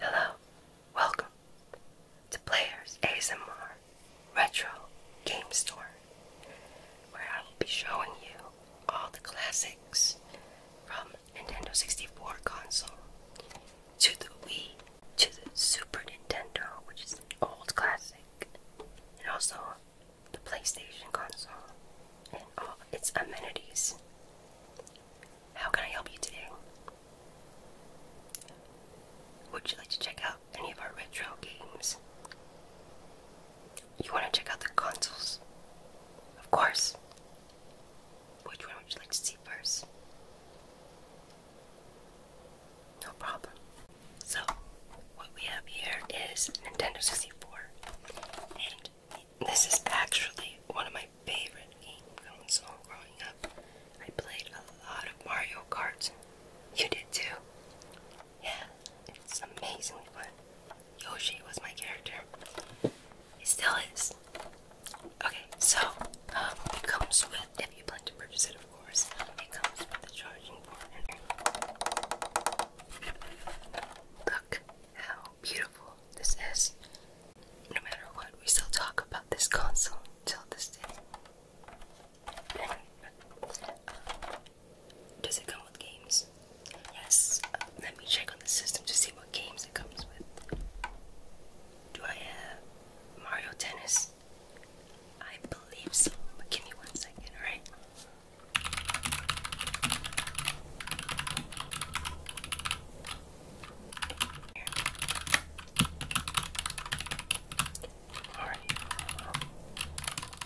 Hello, welcome to Players ASMR Retro Game Store, where I will be showing you all the classics from Nintendo 64 console to the Wii to the Super Nintendo, which is an old classic, and also the PlayStation console and all its amenities. How can I help you today? Would you like to check out any of our retro games? You want to check out the consoles? Of course. Which one would you like to see first? No problem. So, what we have here is Nintendo 64. And this is actually one of my favorite game consoles growing up. I played a lot of Mario Kart. You did too. Yeah, it's amazingly fun. Yoshi was my character. He still is. Okay, so um, it comes with, if you plan to purchase it, of course, it comes with a charging port. Look how beautiful this is. No matter what, we still talk about this console till this day. does it come with games? Yes. Uh, let me check on the system to see what games it comes with. Do I have Mario Tennis? I believe so, but give me one second, alright? Alright.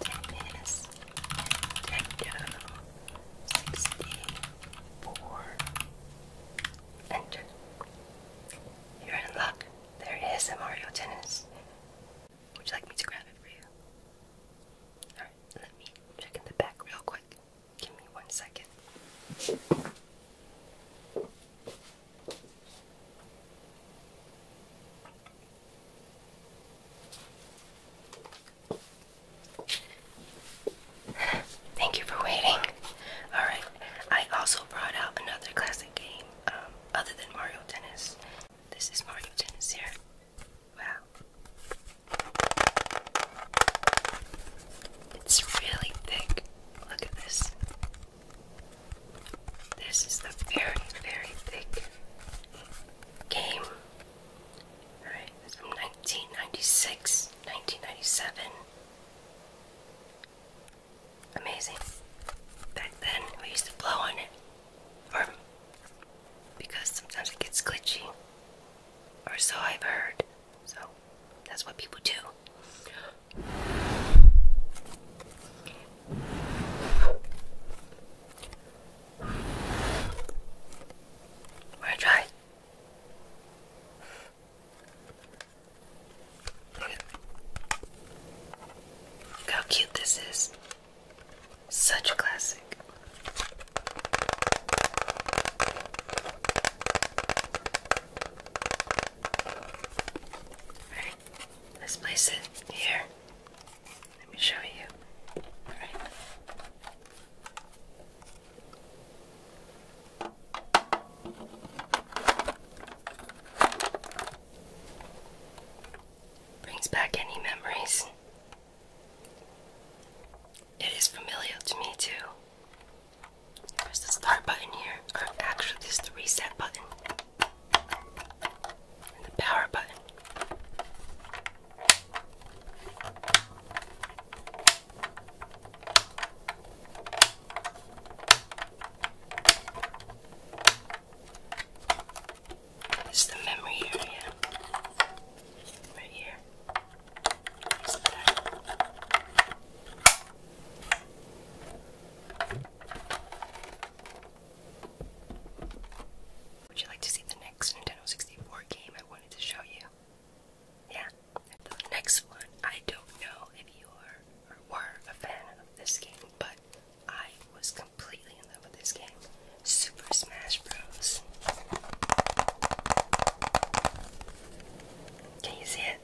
Ten minus ten sixty-four. Enter. You're in luck. There is a Mario Tennis. Would you like me to grab it for you? Alright, let me check in the back real quick. Give me one second. Thank you for waiting. Alright, I also brought out another classic game um, other than Mario Tennis. This is Mario Tennis here. Wow. It's really thick. Look at this. This is the very, very thick game. Alright, it's from 1996, 1997. Amazing. Back then, we used to blow on it. Or, because sometimes it gets glitchy. Or so I've heard. So that's what people do. Wanna Look how cute this is. Such classic. Alright, let's place it here. Let me show you. Brings back any memories it is familiar to me too. There's the start button here, or actually, there's the reset button the power button. This is the memory area right here. Would you like to see the next Nintendo 64 game I wanted to show you? Yeah. The next one, I don't know if you are or were a fan of this game, but I was completely in love with this game. Super Smash can you see it?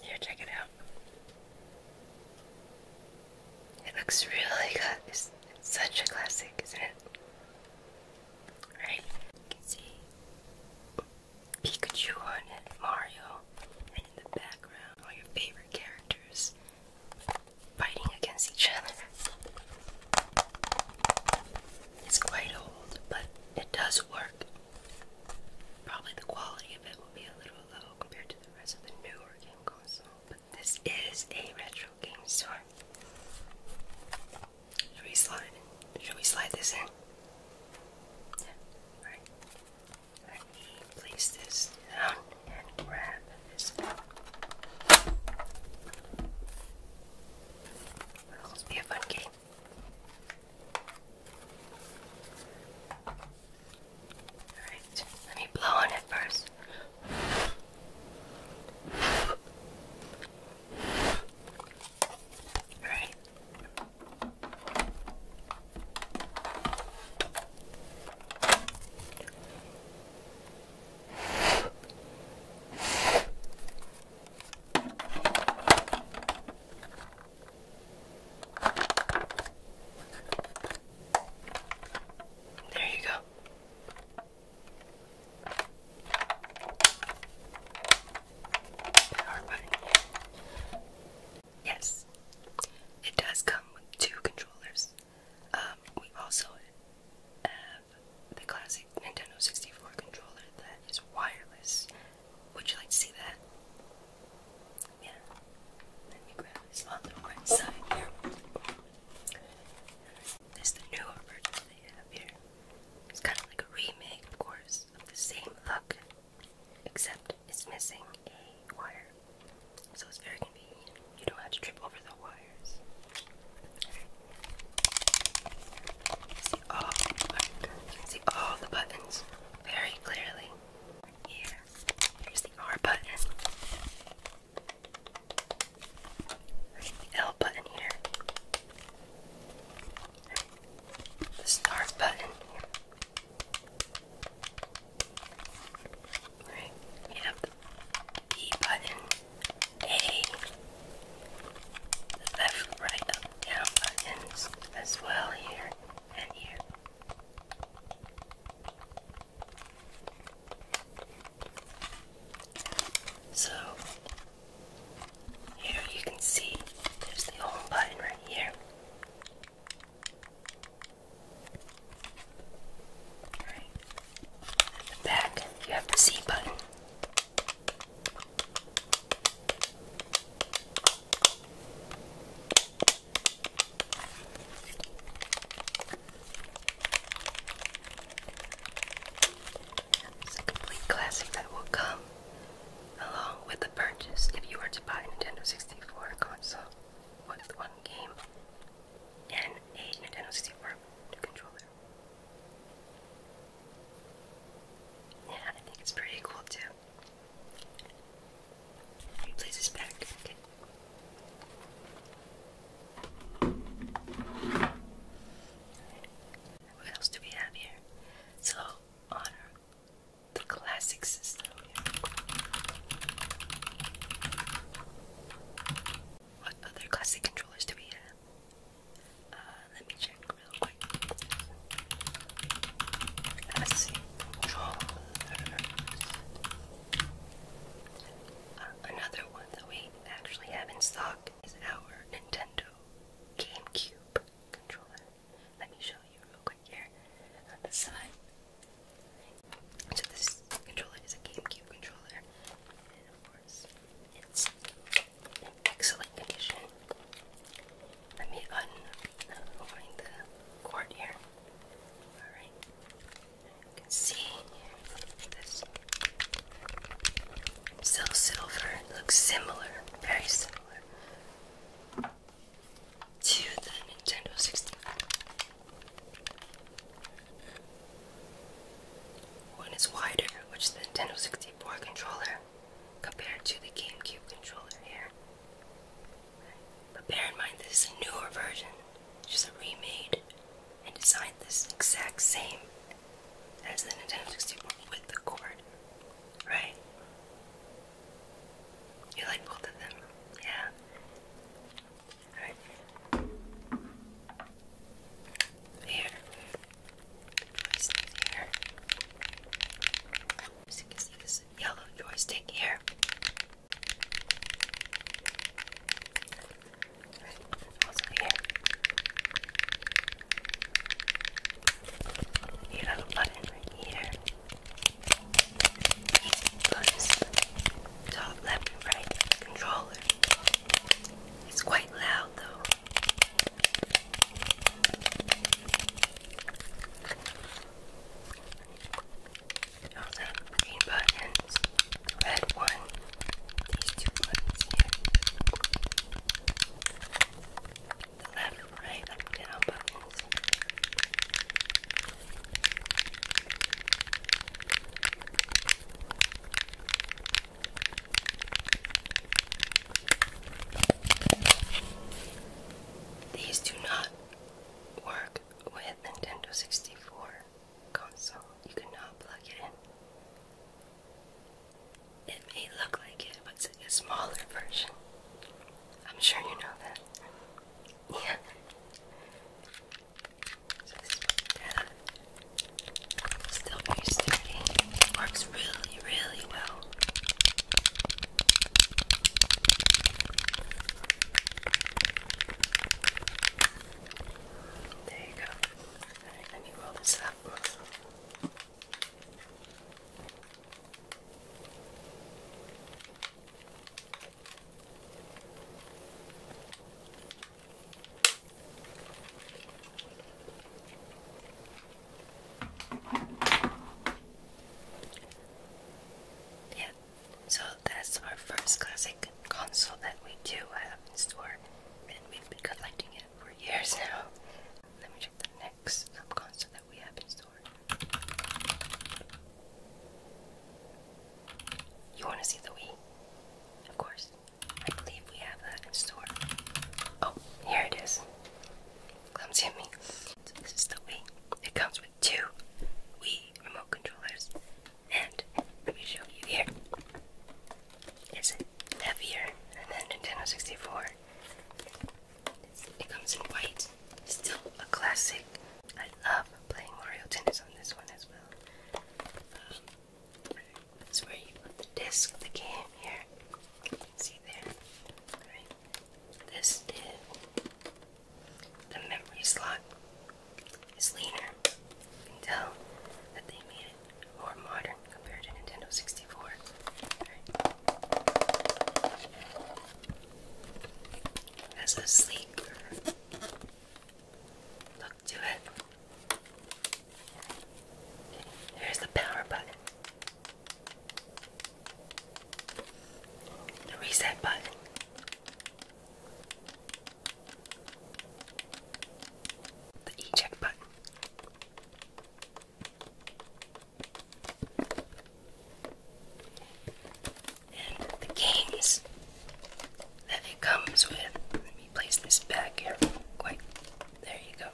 Here, check it out. It looks really good. It's, it's such a classic, isn't it? Right? You can see Pikachu on it, Mario, and in the background, all your favorite characters fighting against each other. It's quite old, but it does work. Probably the quality of it will be a little low compared to the rest of the newer game console, but this is a retro game store. Should we slide? Should we slide this in? Yeah. All right. Let me place this down and grab this It'll be a fun game. Alright, let me blow on it first. Alright. There you go. Power button. Yes, it does come with two controllers. Um, we also have the classic Nintendo 64 controller that is wireless. Would you like to see that? Yeah. Let me grab this on the right side here. This is the newer version they have here. It's kind of like a remake, of course, of the same look, except it's missing a wire. So it's very convenient. You don't have to trip over the wire. See all the buttons. very clearly. Here, here's the R button. Right, the L button here. the start button Right, you B button, A, the left, right, up, down buttons as well here and here. So here you can see there's the home button right here back, you have the Z button. It's a complete classic that will come along with the purchase if you were to buy a Nintendo 64 console with one game and a Nintendo 64 to yeah, I think it's pretty cool too. He back. What else do we have here? So, on the classic system What other classic controllers do we have? Uh, let me check real quick. let uh, another one that we actually have in stock is our Nintendo GameCube controller. Let me show you real quick here on the side. So this controller is a GameCube controller course. It's in excellent condition. Let me unwind the cord here. Alright. You can see this still silver. looks similar, very similar to the Nintendo 64. One is wider, which the Nintendo 64 controller compared to the GameCube controller here. But bear in mind, this is a newer version, just a remade and designed this exact same as the Nintendo 64 with the cord, right? You like both of them, yeah? Alright. Here, joystick here. you can see, this yellow joystick here. also here. You a button right here. These buttons, top, left, right, controller. It's quite loud though. Those are the green buttons, red one, these two buttons here. The left, right, up and down buttons. These do not work with Nintendo 64 console. You cannot plug it in. It may look like it, but it's a smaller version. I'm sure you know that. Yeah. that Still very sturdy. Works really, really well. There you go. let me roll this up. Yeah, so that's our first classic console that we do have in store, and we've been collecting it for years now. Let me check the next console that we have in store. You want to see the Wii? Of course. I believe we have that in store. Oh, here it is. Comes to me. this is the Wii. It comes with two Wii remote controllers. And let me show you here. It's heavier than the Nintendo 64. It comes in white. Still a classic. I love playing Mario Tennis on this one as well. Um, that's where you put the disc that came here. See there? This did. The memory slot is leaner. You can tell that they made it more modern compared to Nintendo 64. That's a sleek look to it. Here's the power button, the reset button. The eject button. And the games that it comes with. Let me place this back here quite. There you go.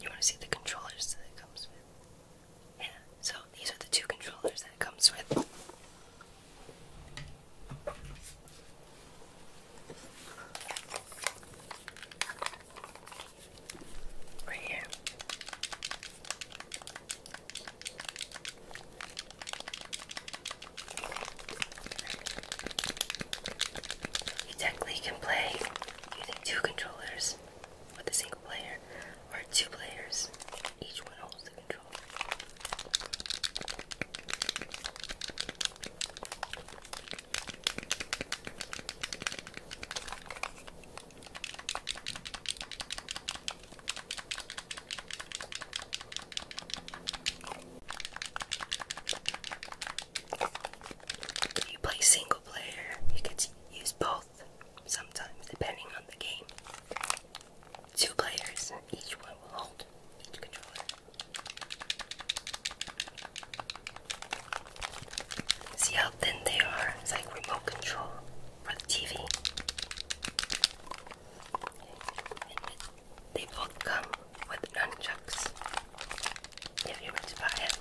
You want to see the controllers that it comes with. Yeah, so these are the two controllers that it comes with. Right here. You technically can play using two controllers with a single player or two players. Each one holds the controller. If you play single player, you can use both sometimes, depending on the game. Two players, each one will hold each controller. See how thin they are? It's like remote control for the TV. they both come with nunchucks if you were to buy it of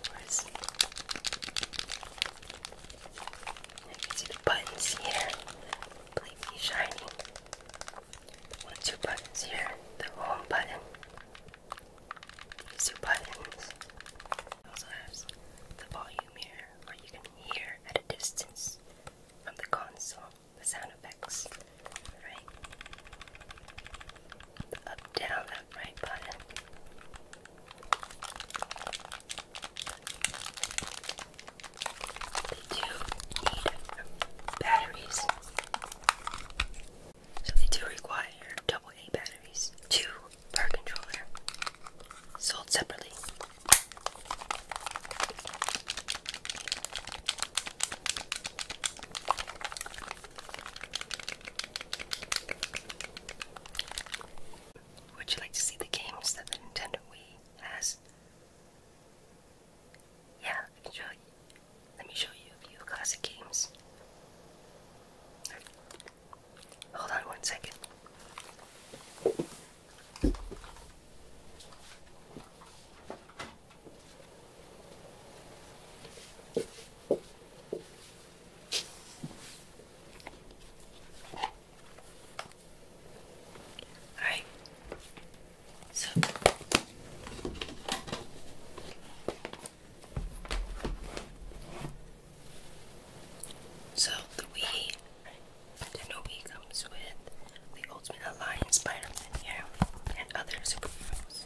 you can see the buttons here completely shiny and two buttons here the home button two buttons also has the volume here where you can hear at a distance from the console the sound effects, right? up, down, that right button. They do need batteries. So they do require AA batteries, two per controller, sold separately. Would you like to see the games that the Nintendo Wii has? Yeah, Let me show you a few classic games. Hold on one second. Alright, so so the Wii, Nintendo Wii comes with the Ultimate Alliance Spider-Man here and other superheroes.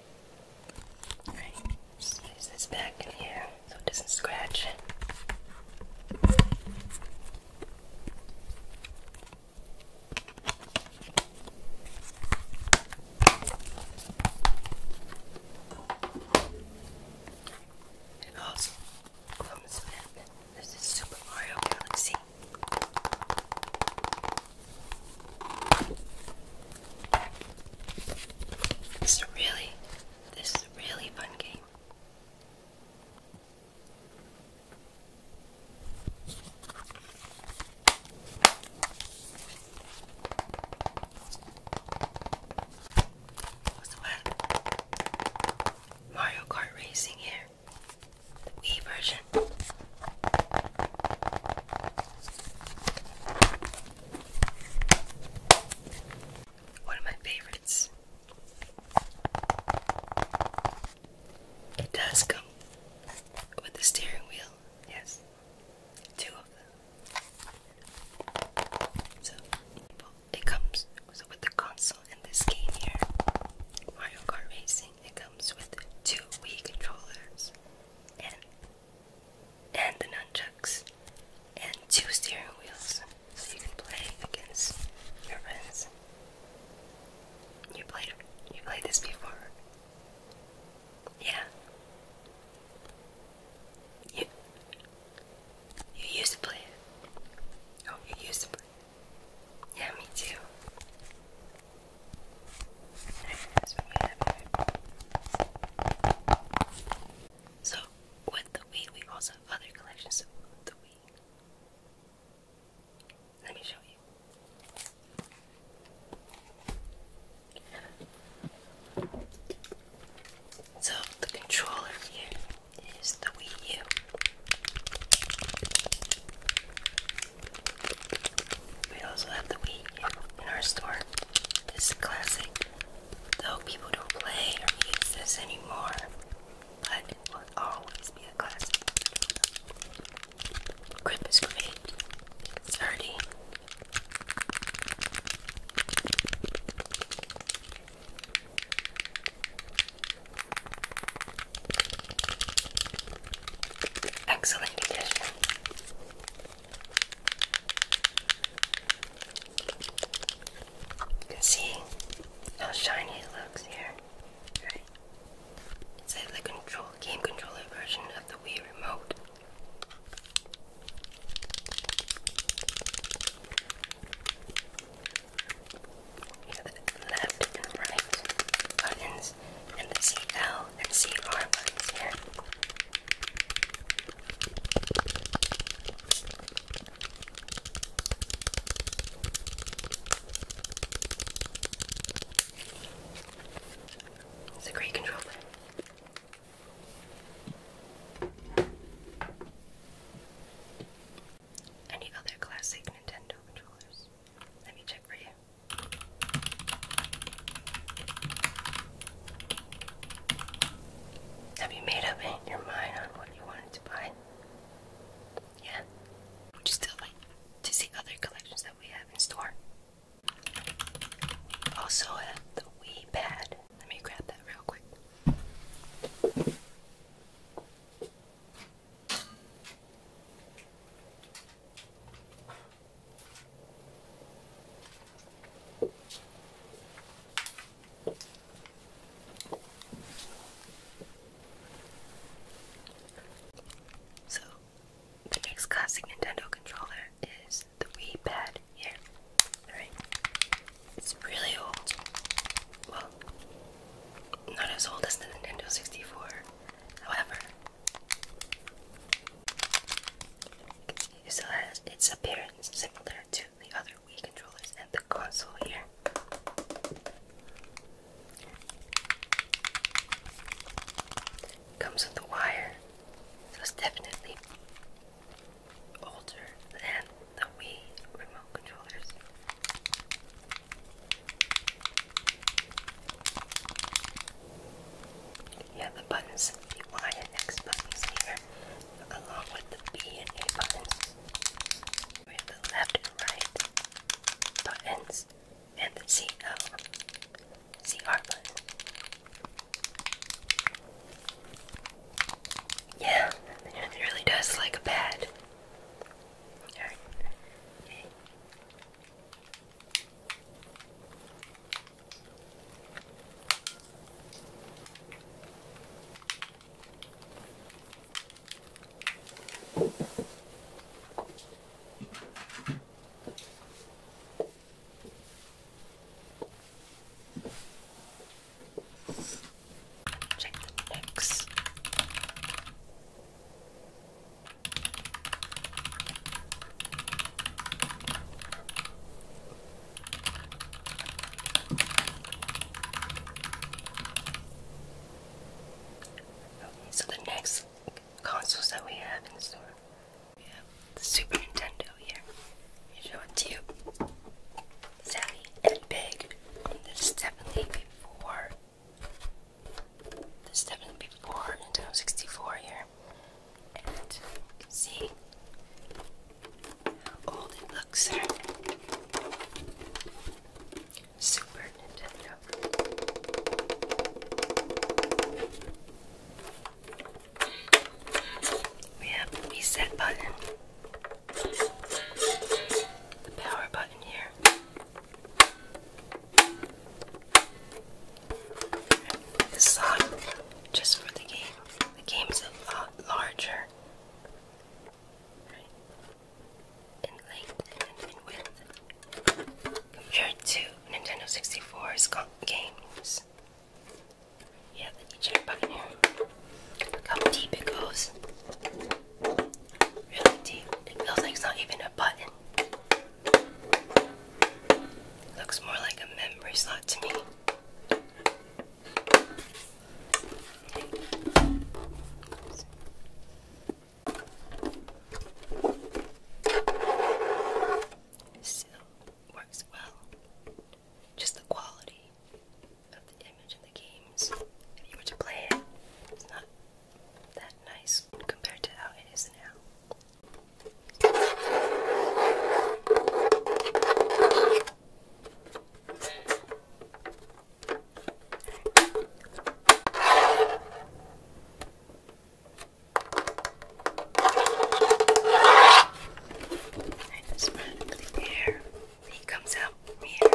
place this back in here so it doesn't scratch. It also comes with this is Super Mario Galaxy. This is really, this is a really fun game. Uh, Mario Kart Racing here. The Wii version. One of my favorites. It does come with the steering wheel, yes. Two of them. So it comes with the console in this game here, Mario Kart Racing. It comes with two Wii controllers and the nunchucks and two steering wheels so you can play against your friends. You played you played this before. Yeah. You you used to play it. Oh, you used to play it. Yeah, me too. So, with the weed, we also have other collections of the weed. Let me show you. So, the controller here is the Wii U. We also have the Wii in our store. It's classic Though people don't play or use this anymore, it will always be a classic. Grip is great, it's sturdy. Excellent condition. You can see how shiny it looks here, right? It's the control game controller version of the Wii remote. Here the left and right buttons and the CL and CR buttons here. It's a great controller. Any other classic Nintendo controllers? Let me check for you. Have you made up your mind on what you wanted to buy? Yeah. Would you still like to see other collections that we have in store? Also have uh, the Wii pad. Let me grab that real quick. So, the next classic Nintendo controller is the Wii Pad here. Alright. It's really old. Well, not as old as the Nintendo 64. However, it still has its appearance similar to the other Wii controllers and the console here. Comes with a wire, so it's definitely older than the Wii remote controllers. You have the buttons, the Y and X buttons here, along with the B and A buttons. We have the left and right buttons, and the CL, oh, CR button. Yeah, it really does like a pad. Check the next. Okay, so the next consoles that we have in store, we have the Super Nintendo here. You show it to you. Savvy and big. And this is definitely before. This is definitely before Nintendo 64 here and see how old it looks there. Super Nintendo. We have the reset button, the power button here. This song just for the game the game's a lot larger right. in length and in width compared to Nintendo 64's games. Yeah, the DJ Buccaneer. how deep it goes. Really deep. It feels like it's not even a button. Looks more like a memory slot to me. It still works well. Just the quality of the image in the games. If you were to play it, it's not that nice compared to how it is now. I just run it through the air. He comes out from here.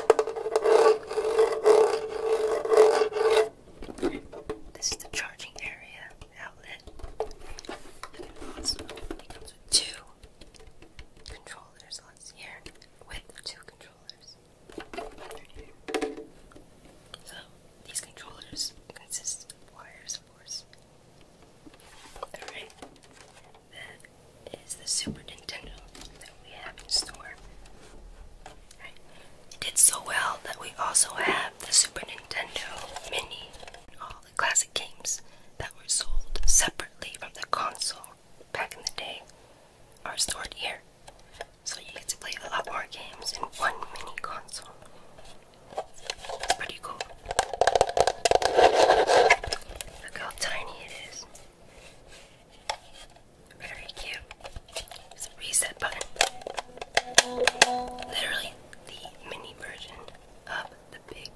This is the charging area outlet. It comes with two controllers. let here with two controllers. So these controllers consist of wires, of course. Alright, that is the Super Nintendo that we have in store. It did so well that we also have the Super Nintendo Mini, all the classic games that were sold separately from the console back in the day are stored here. So you get to play a lot more games in one mini console. pretty cool. Look how tiny it is. Very cute. reset button. Literally the mini version of the big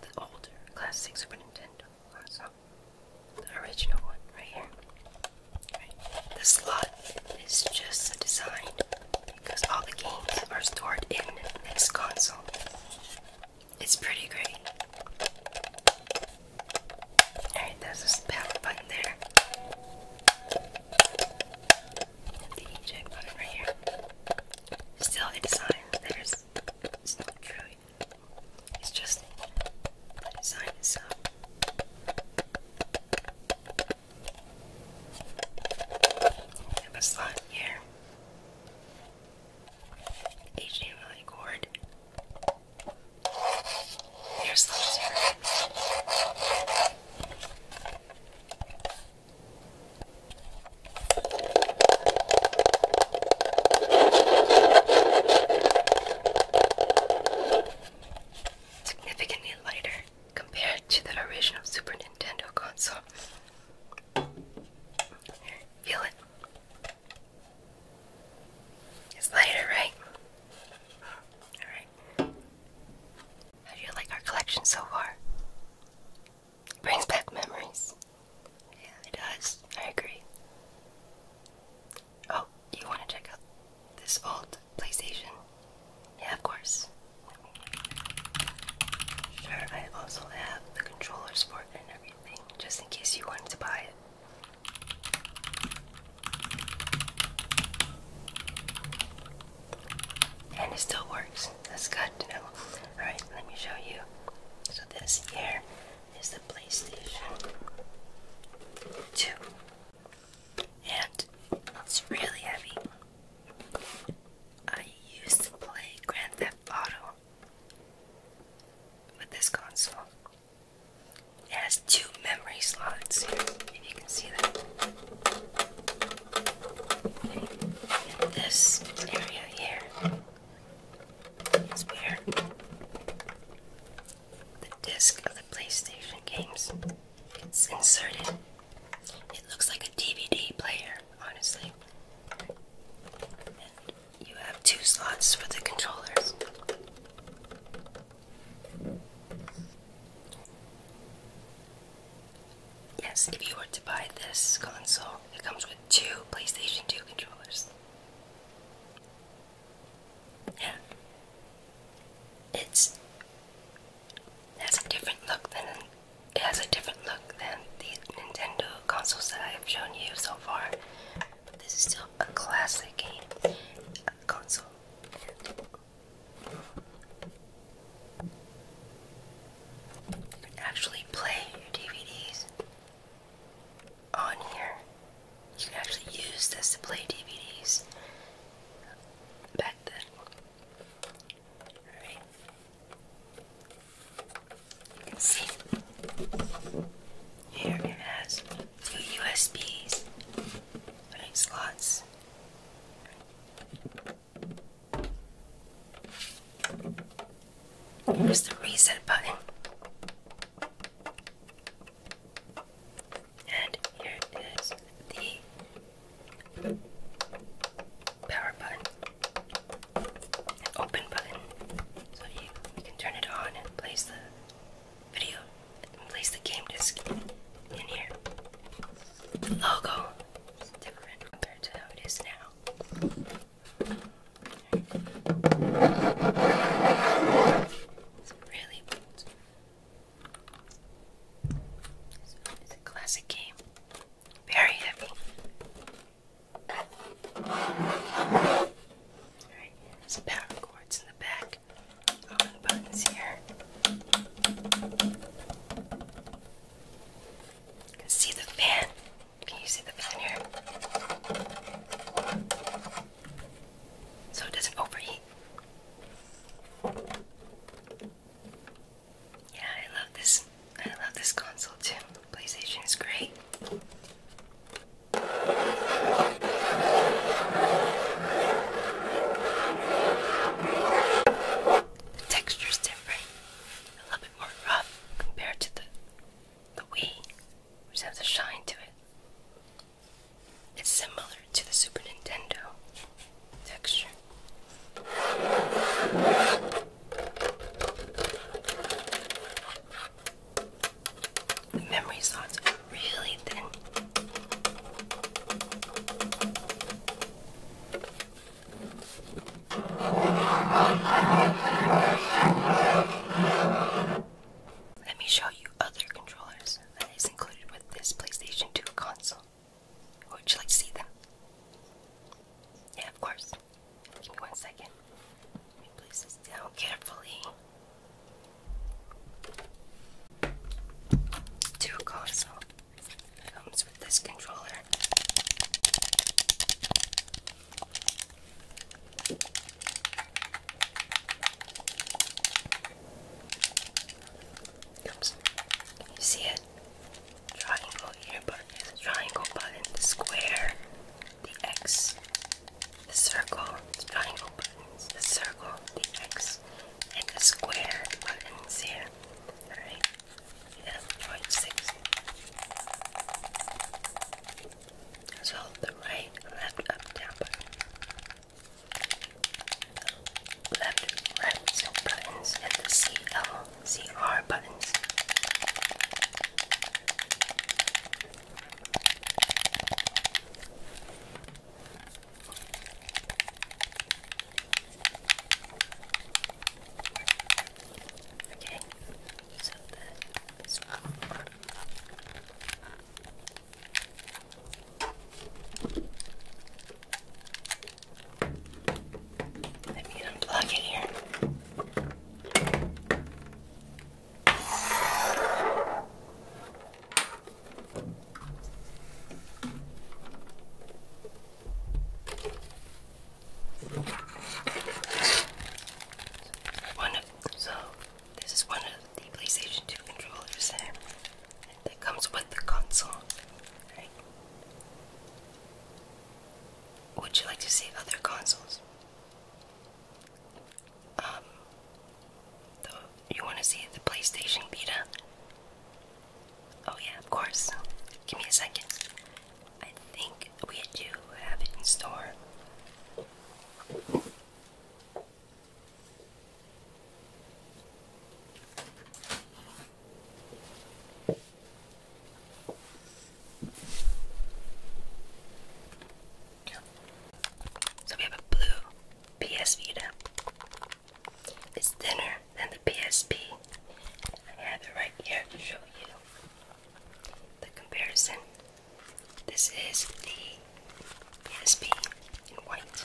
the older classic Super Nintendo console. The original one right here. Right. The slot is just designed because all the games are stored in this console. It's pretty great. Alright, there's this power button there the eject button right here. Still a design There's, it's not true. It's just the design itself. We a slot here. HDMI cord. Here's the Significantly lighter compared to the original Super Nintendo console. feel it. It's lighter, right? Alright. How do you like our collection so far? brings back memories. Yeah, it does. I agree. Oh, you want to check out this old PlayStation? Yeah, of course. Sure, I also have the controllers for and everything, just in case you wanted to buy it and it still works. That's good Alright, let me show you. So, this here is the PlayStation 2, and it's really heavy. I used to play Grand Theft Auto with this console. It has two memory slots, here. if you can see that this area here is where the disc of the PlayStation games gets inserted. It looks like a DVD player, honestly. you have two slots for the controllers. Yes, if you were to buy this console, it comes with two PlayStation 2 controllers. Yeah. It's it has a different look than it has a different look than the Nintendo consoles that I have shown you so far. But this is still a classic game a console. You can actually play DVDs on here. You can actually use this to play DVDs back then. Alright. You can see here it has two USBs, right slots. Where's the reset button? And here is the power button, an open button, so you, can turn it on and place the video place the game disc in here. logo is different compared to how it is now. It's really it's a classic game. Very heavy. Alright, some power cords in the back. buttons here. see the fan can you see the fan here? So it doesn't overheat. Yeah, I love this. I love this console too. PlayStation is great. The texture's different more rough compared to the the Wii, which has a shine to it. It's similar to the Super Nintendo texture. The memory slots are really thin. Let me show you other controllers that is included with this PlayStation 2 console. Would you like to see them? Yeah, of course. Give me one second. Let me place this down carefully. Two console comes with this controller. Oops. Can you see it? Triangle here, button, the triangle button, the square, the X, the circle, the triangle buttons, the circle, the X, and the square buttons here. Alright and 6. So the right, left, up, down Left, right buttons and the CL, CR buttons. Okay, so the this one. Let me unplug it here so this is one of the PlayStation 2 controllers that eh? comes with the console. Would you like to see other consoles? Um, you want to see the PlayStation Vita? Oh yeah, of course. Give me a second. I think we do have it in store. So we have a blue PS Vita. It's thinner than the PSP. I have it right here to show you the comparison. This is the PSP in white,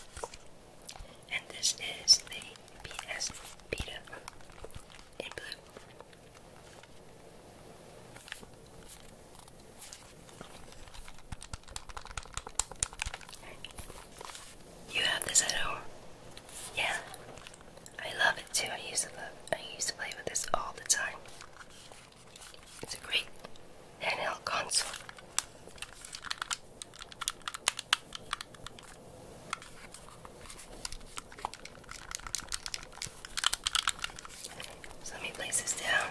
and this is the PS Vita in blue. You have this at home? Yeah? I love it too. I used to love I used to play with this all the time. It's a great handheld console. So let me place this down.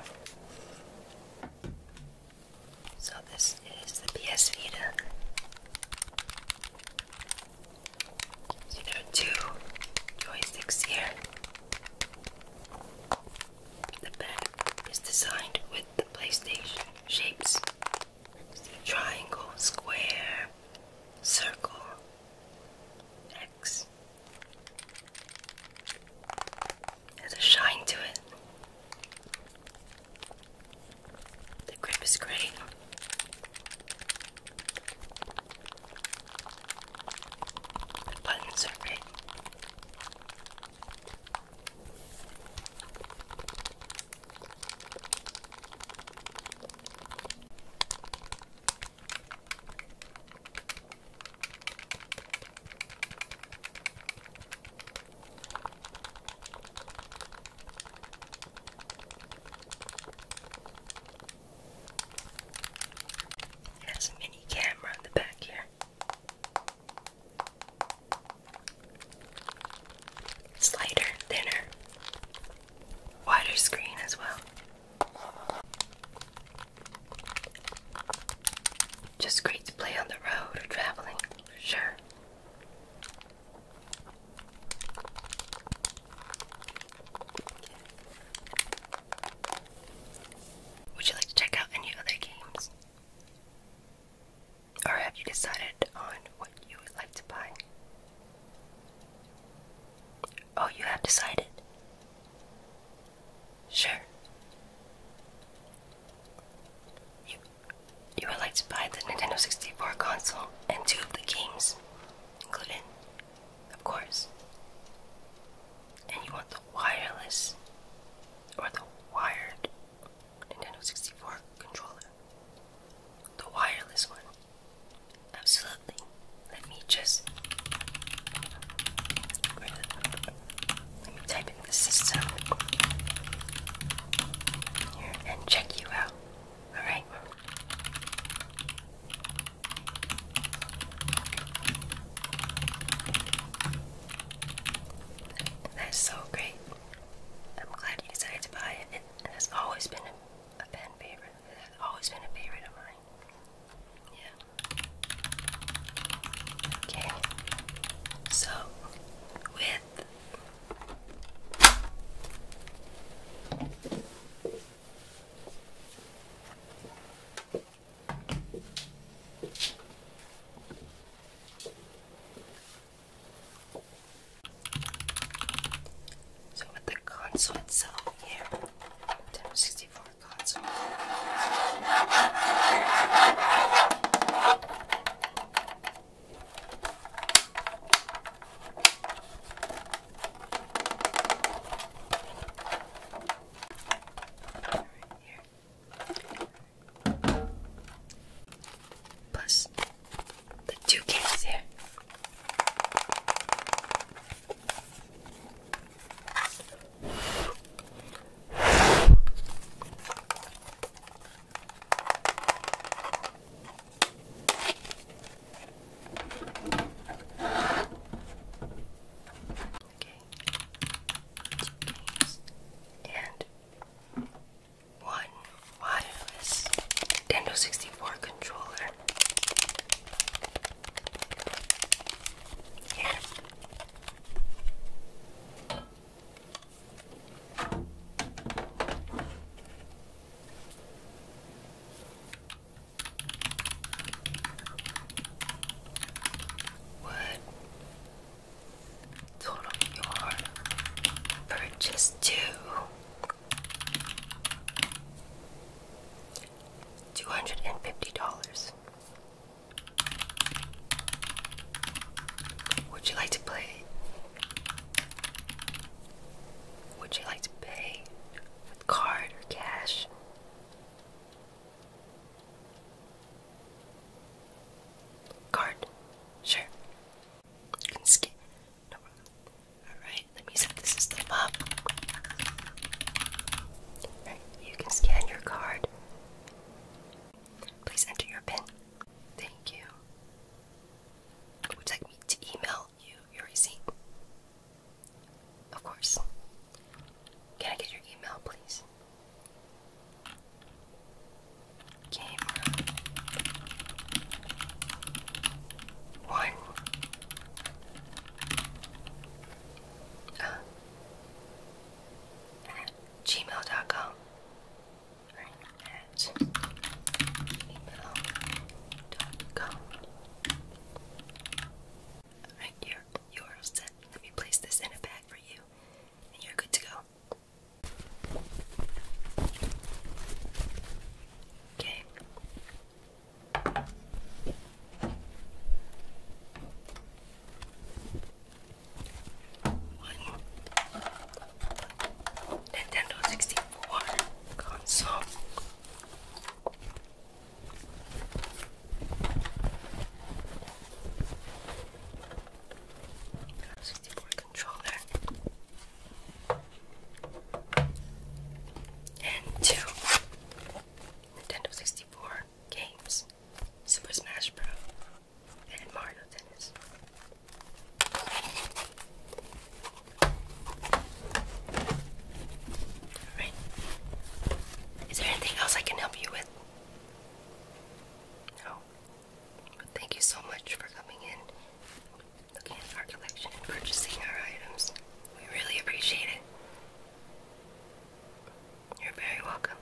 So this is the PS Vita you know, two joysticks here. The back is designed with the PlayStation shapes. triangle, square, circle, X. Has a shine to it. The grip is great. The buttons are big. It has a mini camera in the back here. It's thinner, wider screen as well. Just great to play on the road or traveling, for sure. Would you like to check out any other games? Or have you decided on what you would like to buy? Oh, you have decided? Sure. You, you would like to buy the Nintendo 64 console and two of the games, including of course. And you want the wireless or the wired Nintendo 64 controller. The wireless one. Absolutely. Let me just type in the system here and check you out. That's so great. I'm glad you decided to buy it. It has always been a, a favorite. It has always been a favorite of mine. Yeah. Okay. So, with so with the console itself here, Nintendo 64 console. Right here. Plus the two cans here. Okay, two keys and one wireless Nintendo 64 controller. Here. What? Total your purchase two. Two hundred and fifty dollars. Would you like to play? Would you like to pay card or cash. Card, sure. Skip. No problem. Alright, let me set the system up. you can scan your card. Please enter your PIN. Thank you. Would like me to email you your Of course. Can I get your email, please? one. Uh, at gmail.com. Alright, you you're all set. Let me place this in a bag for you, and you're good to go. Okay. One Nintendo 64 console. 64 controller and two Nintendo 64 games Super Smash Bros. and Mario Tennis. Alright. Is there anything else I can help you with? No. Thank you so much for coming in, looking at our collection, and purchasing our items. We really appreciate it. You're very welcome.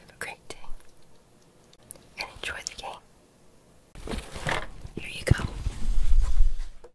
Have a great day. And enjoy the game. Here you go.